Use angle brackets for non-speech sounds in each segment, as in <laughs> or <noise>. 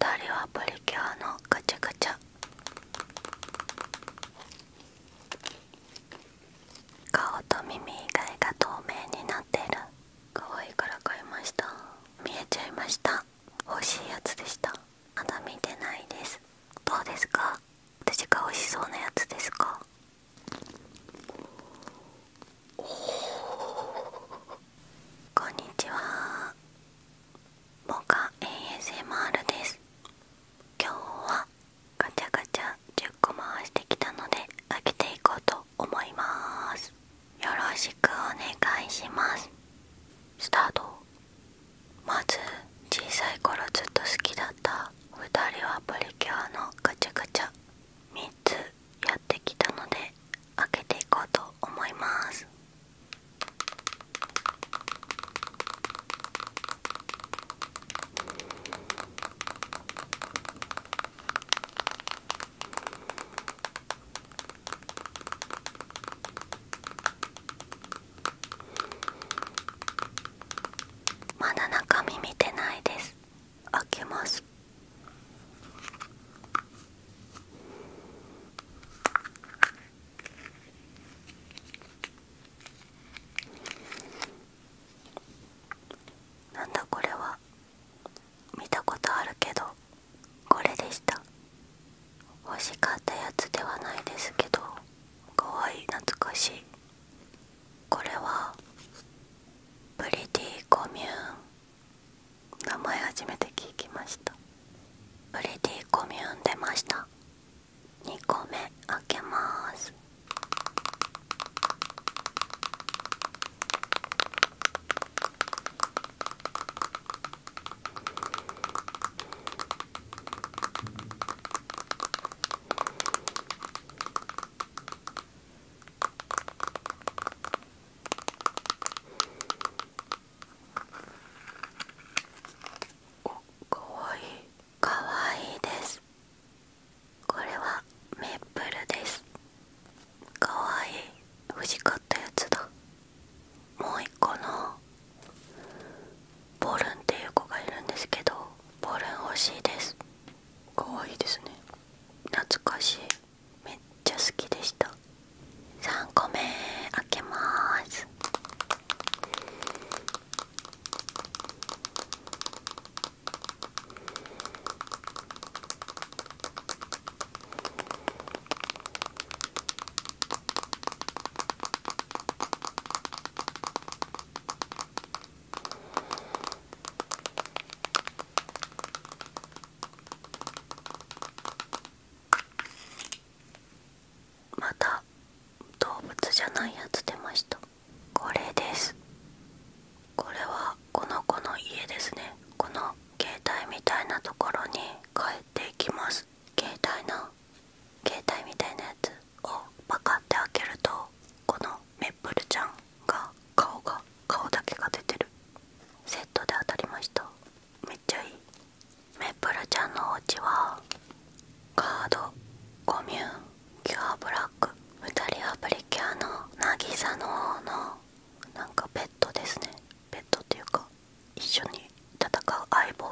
人はプリキュアのガチャガチャ顔と耳以外が透明になってる可愛いから買いました見えちゃいました欲しいやつでしたまだ見てないですどうですか私が美味しそうなやつですかおおこんにちはモカ ASMR です今日はガチャガチャ10個回してきたので開けていこうと思いますよろしくお願いしますスタートまず小さい頃ずっと好きだった2人はプリキュアのガチャガチャ3つやってきたので開けていこうと思いますまだ中身見てないです開けますなんだこれは見たことあるけどこれでした欲しかったやつではないですけどかわいい懐かしいこれはプリティコミューン名前初めて聞きましたプリティコミューン出ました2個目開けますかわいいかわいいですこれはメープルですかわいい欲しかったやつだもう一個のボルンっていう子がいるんですけどボルン欲しいですかわいいですね懐かしいめっちゃ好きでした3個目開けまーすまた動物じゃないやつ出ましたこれですこれはこの子の家ですねこの携帯みたいなところに帰っていきます携帯な携帯みたいなやつをパカって開けるとこのメップルちゃんが顔が顔だけが出てるセットで当たりましためっちゃいいメめプルちゃんのお家はカードコミューンキュアブラック2人アプリキャーの渚の王のなんかペットですねペットっていうか一緒に戦う相棒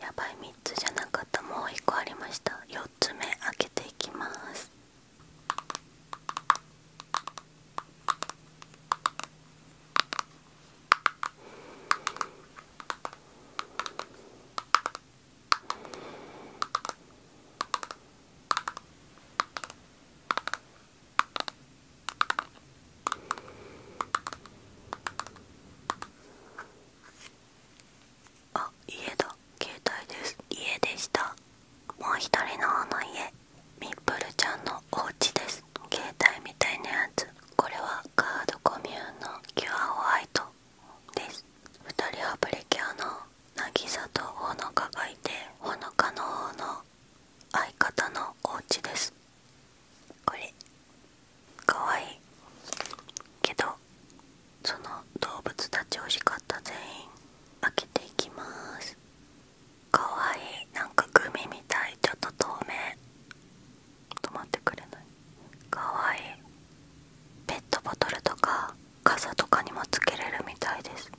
やばい3つじゃなかったもう1個ありました4つ目開けていきますあ、家だ。携帯です。家でした。もう一人の方の家ミップルちゃんのお家です携帯みたいなやつこれはカードコミューンのキュアホワイトです2人はプリキュアの渚とほのかがいてほのかの方の相方のお家ですこれかわいいけどその動物たち惜しかった全員開けていきますかわいいなんかグミみたいちょっと透明止まってくれないかわいいペットボトルとか傘とかにもつけれるみたいです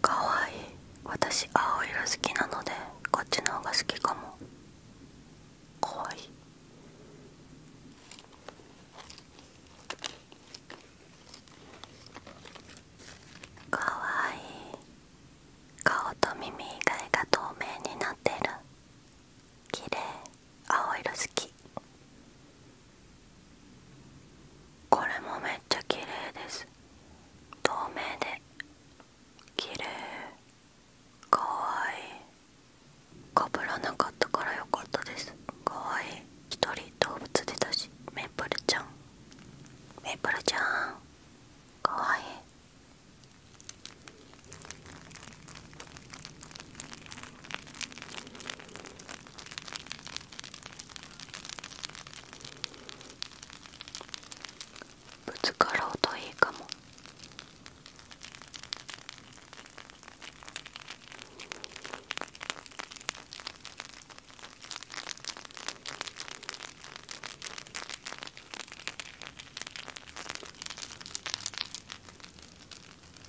かわいい私青色好きなのでこっちの方が好きかも怖いかわいい顔と耳以外が透明になってる綺麗青色好きこれもめっちゃ綺麗です透明で綺麗かわいいかぶらなかったからよかったですかわいい一人動物でたしメープルちゃんメープルちゃんかわいいぶつかろうといいかも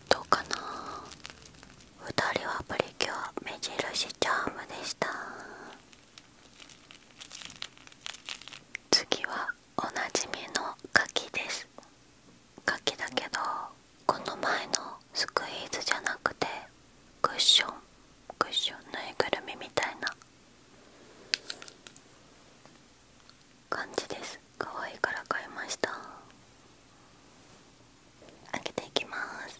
どうかな2人はプリキュア目印チャームでした次はおなじみの柿です柿だけどこの前のスクイーズじゃなくてクッションクッションぬいぐるみみたいな感じです可愛いから買いました開けていきます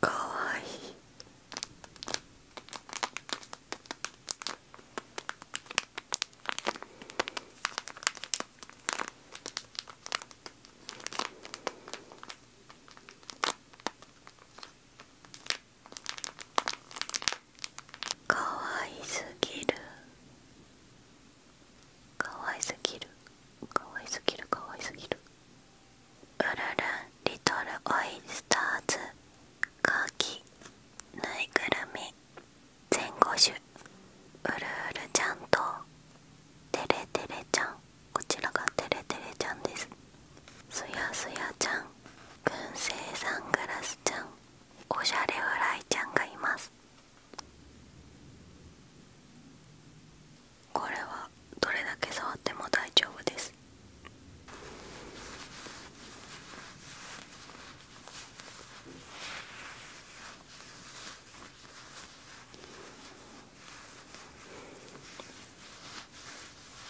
かわいい。かわいすぎるかわいすぎるかわいすぎるかわいすぎるうるるリトルオイスターズカキぬいぐるみ全5種うるうるちゃんとてれてれちゃんこちらがてれてれちゃんですすやすやちゃん燻製サングラスちゃんおしゃれ笑いちゃんがいますこれはどれだけ触っても大丈夫です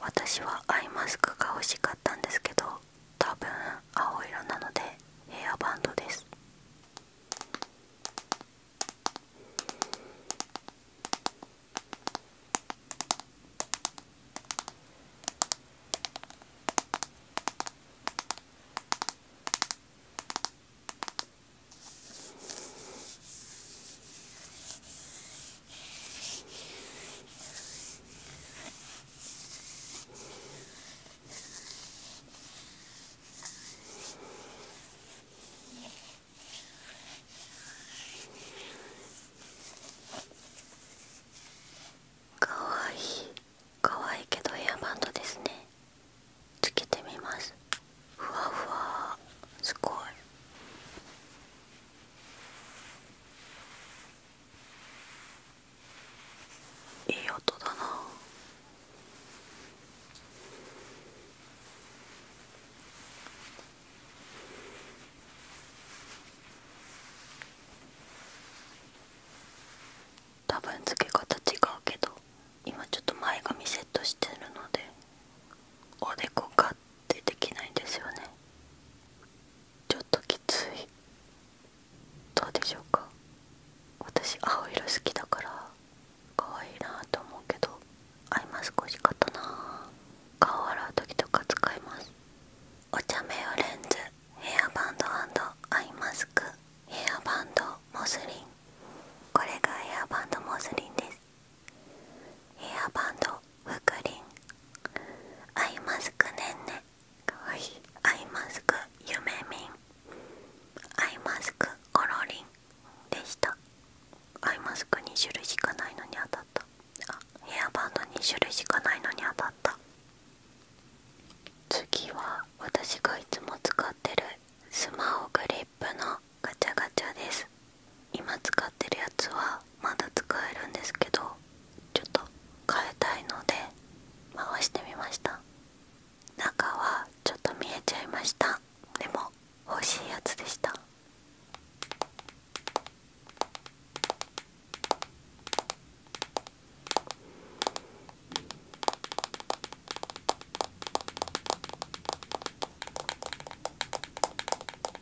私はアイマスクが欲しかったんですけど多分青色なのでヘアバンドですかわいいかわいいけどヘアバンドですねつけてみますふわふわすごいいい音だな多分付け方違うけど今ちょっと前髪セットしてるのでおでこかっってきないんですよねちょっときついどうでしょうか私青色好きだから可愛いなと思うけどアイマスク欲しかったな顔洗う時とか使いますお茶目用レンズヘアバンドアイマスクヘアバンドモスリンこれがヘアバンドモスリンですヘアバンドフクリンアイマスクねんねかいアイマスクゆめみんアイマスクコロリンでしたアイマスク2種類しかないのに当たったあヘアバンド2種類しかないのに当たった次は私がいつも使ってるスマホグリップ。ッのガチャガチャです今使ってるやつはまだ使えるんですけどちょっと変えたいので回してみました中はちょっと見えちゃいましたでも欲しいやつでした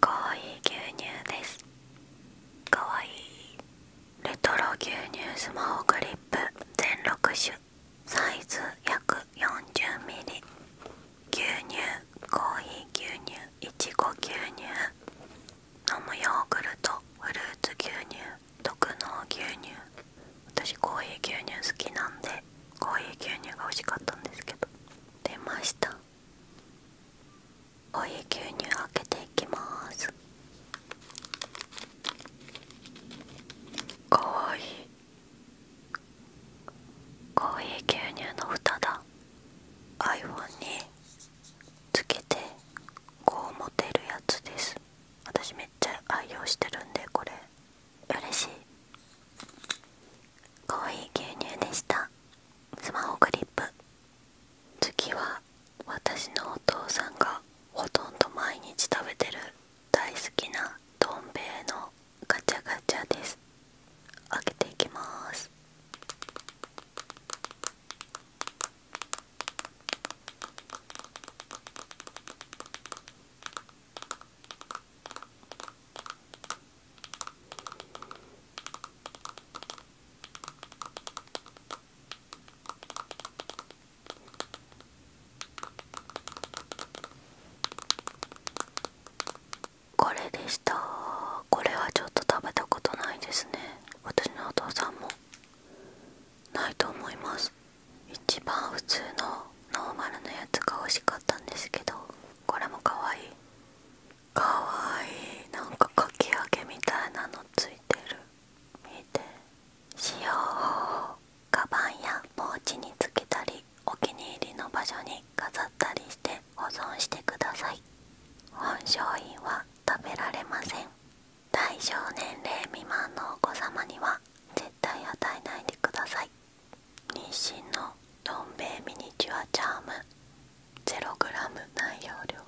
かわいい牛乳ですかわいレトロ牛乳スマホグリップ全6種サイズ約 40ml 牛乳コーヒー牛乳いちご牛乳飲むヨーグルトフルーツ牛乳特納牛乳私コーヒー牛乳好きなんでコーヒー牛乳が欲しかったんですけど出ましたお湯牛乳開けていきますかわいいかわいい牛乳の蓋だアイ h o n につけてこう持てるやつです私めっちゃ愛用してるんでこれ嬉しいかわいい牛乳でしたスマホクリップ次は私のお父さんがほとんど毎日食べてる大好きなどん兵衛のガチャガチャです開けていきますこれでしたこれはちょっと食べたことないですね私のお父さんもないと思います一番普通のノーマルのやつが美味しかったんですけどこれも可愛いかわいいなんかかき揚げみたいなのついてる見て使用方法カバンやポーチにつけたりお気に入りの場所に飾ったりして保存してください本商品は食べられません対象年齢未満のお子様には絶対与えないでください妊娠のどん兵衛ミニチュアチャーム 0g 内容量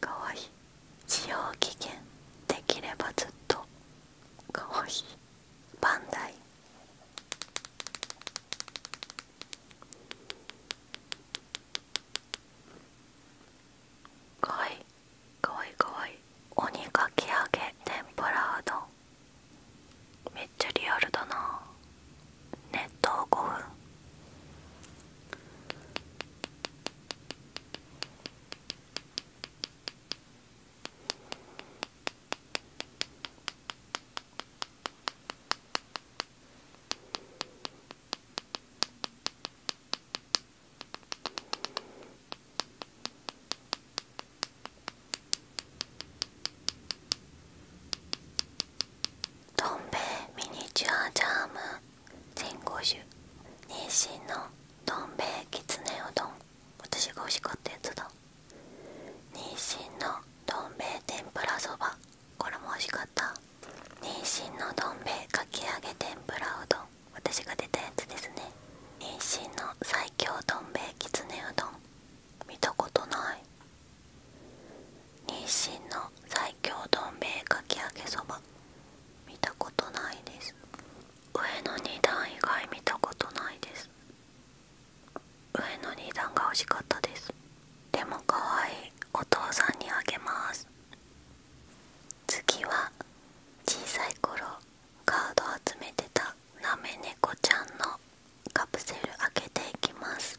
かわいい使用期限できればずっとかわいいバンダイかわいいかわいいかわいい鬼かき揚げ天ぷらうどんめっちゃリアルだな熱湯5分「どん兵衛ミニチュアジャーム全5種妊娠のどん兵衛きつねうどん」私が欲しかったやつだ妊娠のどん兵衛天ぷらそばこれも欲しかった妊娠のどん兵衛かき揚げ天ぷらうどん私が出たやつですね妊娠の最強どん兵衛きつねうどん見たことない日清の最強どん兵衛かき揚げそば見たことないです上の2段以外見たことないです上の2段が欲しかったですでも可愛いお父さんにあげます次は小さい頃カード集めてたなめ猫ちゃんのカプセル開けていきます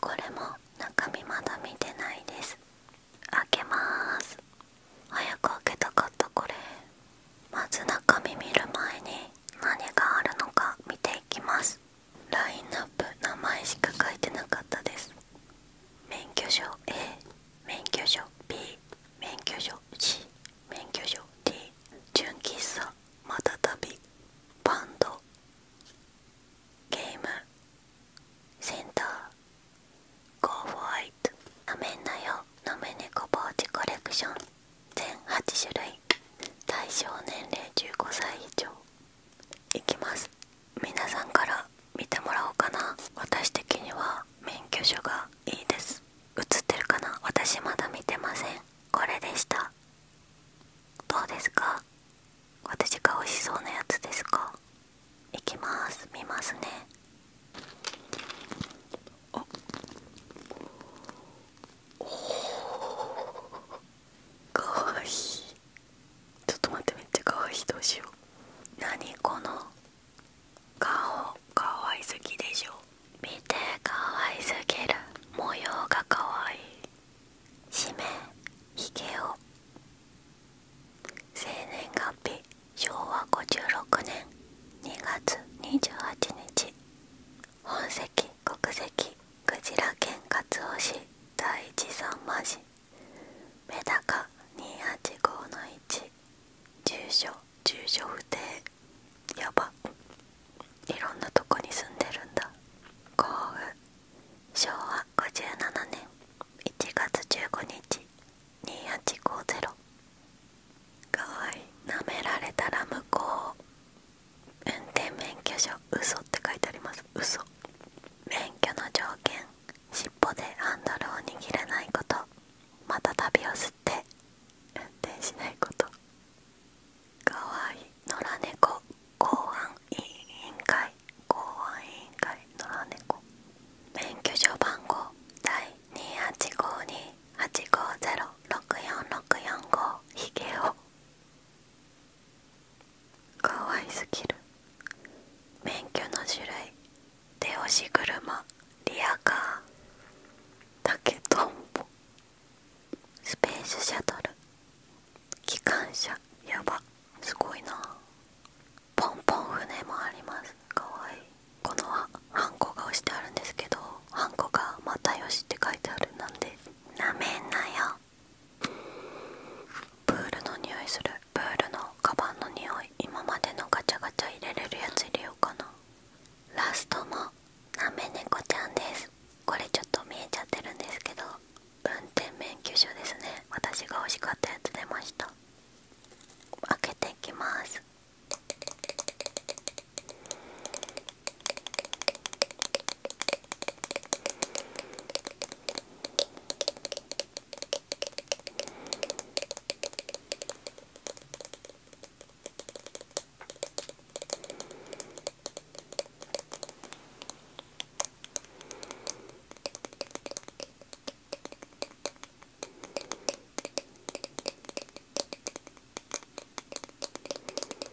これも中身まだ見てないです開けまーす早く開けたかったこれまず中身見る前に何があるのか見ていきますラインナップ名前しか書いてなかったです免許証 A 免許証 B 免許証 C 免許証 D 純喫茶またたびバンドゲームセンターゴーファイト飲めんなよ飲め猫ポーチコレクション全8種類対象年齢15歳以上いきます皆さんから見てもらおうかな私的には免許証がいいです映ってるかな私まだ見てませんこれでしたどうですか私が美味しそうなやつですかいきます見ますねあおかわいいちょっと待ってめっちゃかわいいどうしよう何この顔かわいすぎでしょ見てかわいすぎる模様がかわいい氏名ひげお生年月日昭和56年2月28日本籍国籍鯨ジラ県勝尾市第一三間市メダカ285の1住所住所不定やばいろんなとこに住んでるんだ幸運昭和57年1月15日2850かわいいなめられたら向こう運転免許証嘘って書いてあります嘘免許の条件尻尾でハンドルを握らないことまた旅を吸って運転しないことかわいい野良猫公安委員会公安委員会野良猫免許証番号第2852850646445ひげおかわいすぎる免許の種類手押し車リアカー竹とんぼスペースシャトル機関車やばすごいなポンポン船もありますかわいいこのはハンコが押してあるんですけどハンコが「またよし」って書いてあるなんでなめんなよプールの匂いするプールのカバンの匂い今までのガチャガチャ入れれるやつ入れようかなラストもなめ猫ちゃんですこれちょっと見えちゃってるんですけど運転免許証ですね私が欲しかったやつ出ました開けていきます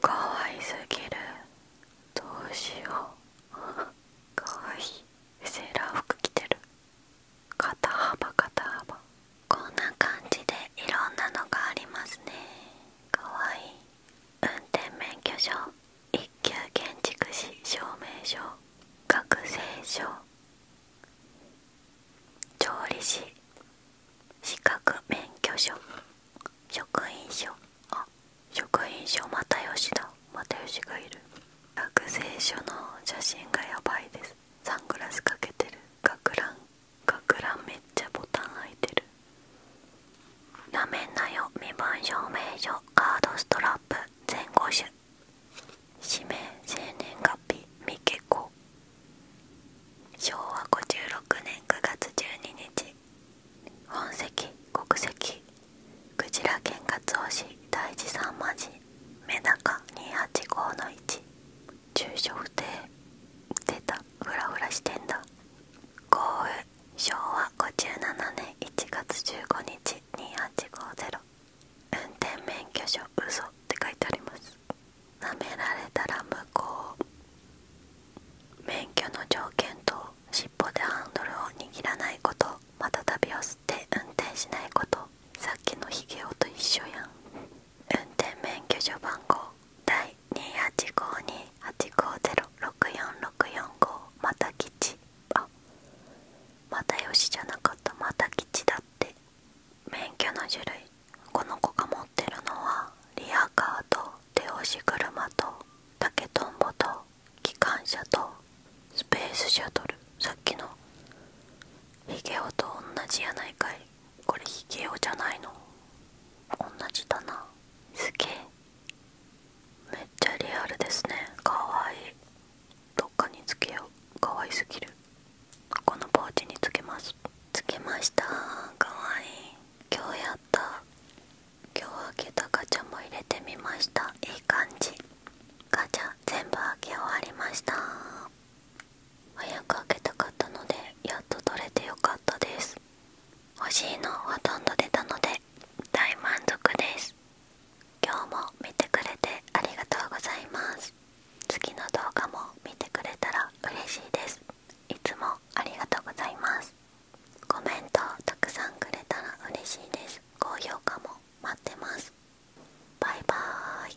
かわいすぎるどうしよう <laughs> かわいいセーラー服着てる肩幅肩幅こんな感じでいろんなのがありますねかわいい運転免許証一級建築士証明書学生証調理師資格免許証職員証あ職員証又吉だ又吉がいる学生証の写真がやばいですサングラスかけてる学ラン学ランめっちゃボタン開いてるなめんなよ身分証明書カードストラップ前後種氏名生年月日未結婚昭和56年9月12日本籍国籍クジラ県勝尾市大地三間寺メダカ285の1住所不定出たフラフラしてんだ豪雨昭和57年1月15日2850運転免許証嘘って書いてありますなめられたら無効免許の条件と尻尾でハンドルを握らないことまた旅を吸って運転しないことさっきのヒゲ男と一緒やん運転免許証番号第28528506464また吉あまたよしじゃなかったまた吉だって免許の種類この子が持ってるのはリアカーと手押し車と竹とんぼと機関車とスペースシャトルさっきのヒゲオと同じやないかいこれヒゲオじゃないの同じだなすげえめっちゃリアルですねかわいいどっかにつけようかわいすぎるこのポーチにつけますつけましたかわいい今日やった今日開けたガチャも入れてみましたいい感じガチャ全部開け終わりました早く開けたかったのでやっと取れてよかったです欲しいのほとんど出たので大満足です今日も見てくれてありがとうございます次の動画も見てくれたら嬉しいですいつもありがとうございますコメントたくさんくれたら嬉しいです高評価も待ってますバイバーイ